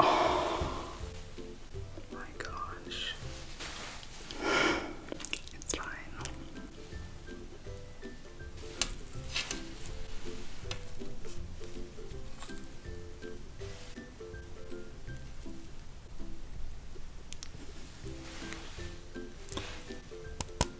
Oh my gosh. It's fine.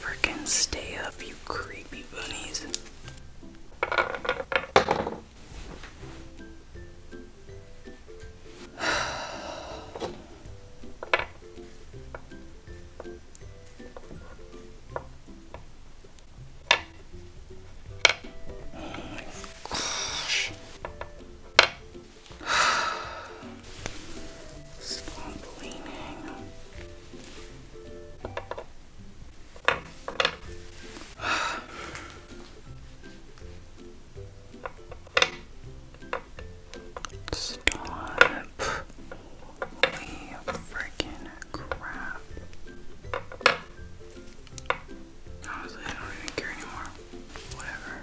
Freaking stay up, you creepy bunnies. Stop. Holy freaking crap. Honestly, I don't even care anymore. Whatever.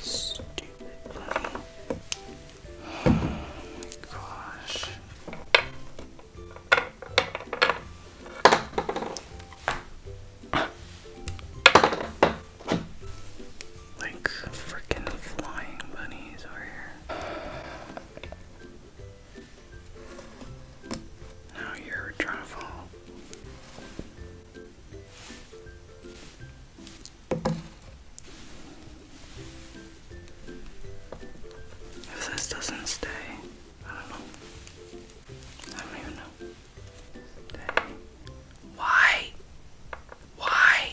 Stupid Oh my gosh. Like freaking flying bunnies over here. Now you're trying to fall. If this doesn't stay, I don't know. I don't even know. Why? Why?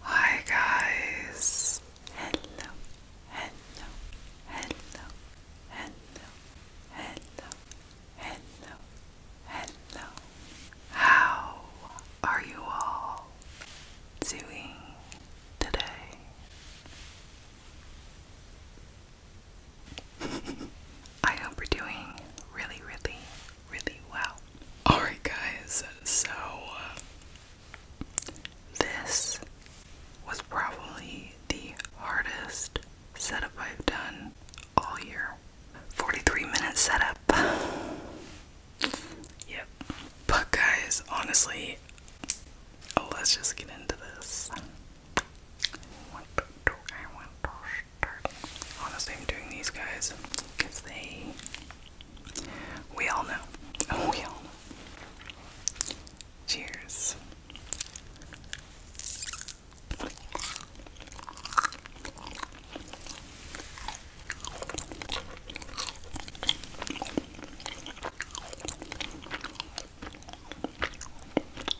Hi guys. Hello. Hello. Hello. Hello. Hello. Hello. Hello. How are you all doing today? I hope we're doing really, really, really well. Alright, guys, so uh, this was probably the hardest setup I've done all year. 43 minute setup. yep. But, guys, honestly, let's just get into this. I want I want to honestly, I'm doing these guys because they. We all know. we all know. Cheers.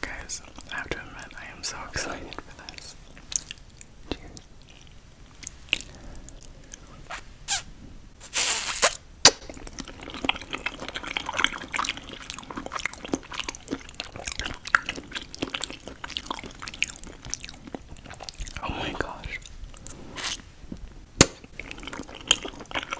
Guys, I have to admit, I am so excited for this. Oh my gosh.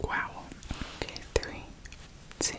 Wow. Okay, three, two,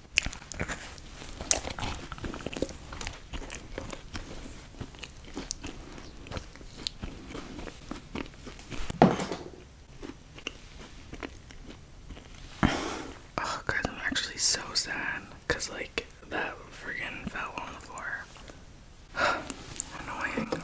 Oh, guys, I'm actually so sad because, like, that friggin' fell on the floor. Annoying.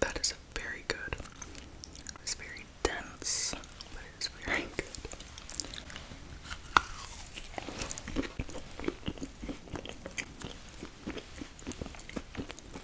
That is very good. It's very dense, but it's very good.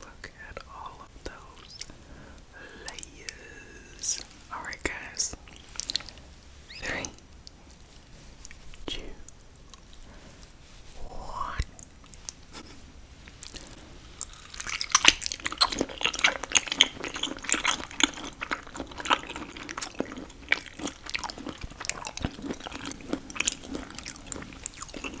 Look at all of those layers. Alright, guys. Three, two, one.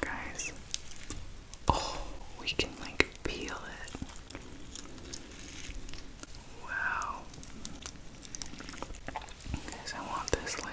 Guys, oh, we can like peel it. Wow. Guys, I want this layer.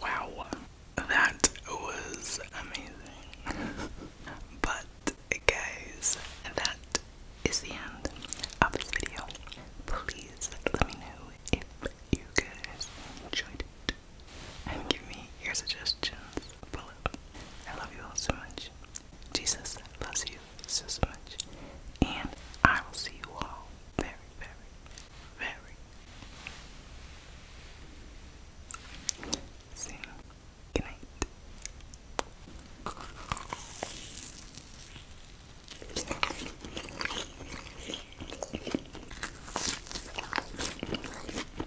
Wow, that was amazing. but, guys, that is the end of this video. Please let me know if you guys enjoyed it and give me your suggestions Philip, I love you all so much. Jesus loves you so, so much. And I will see you all very, very, very soon. Good night.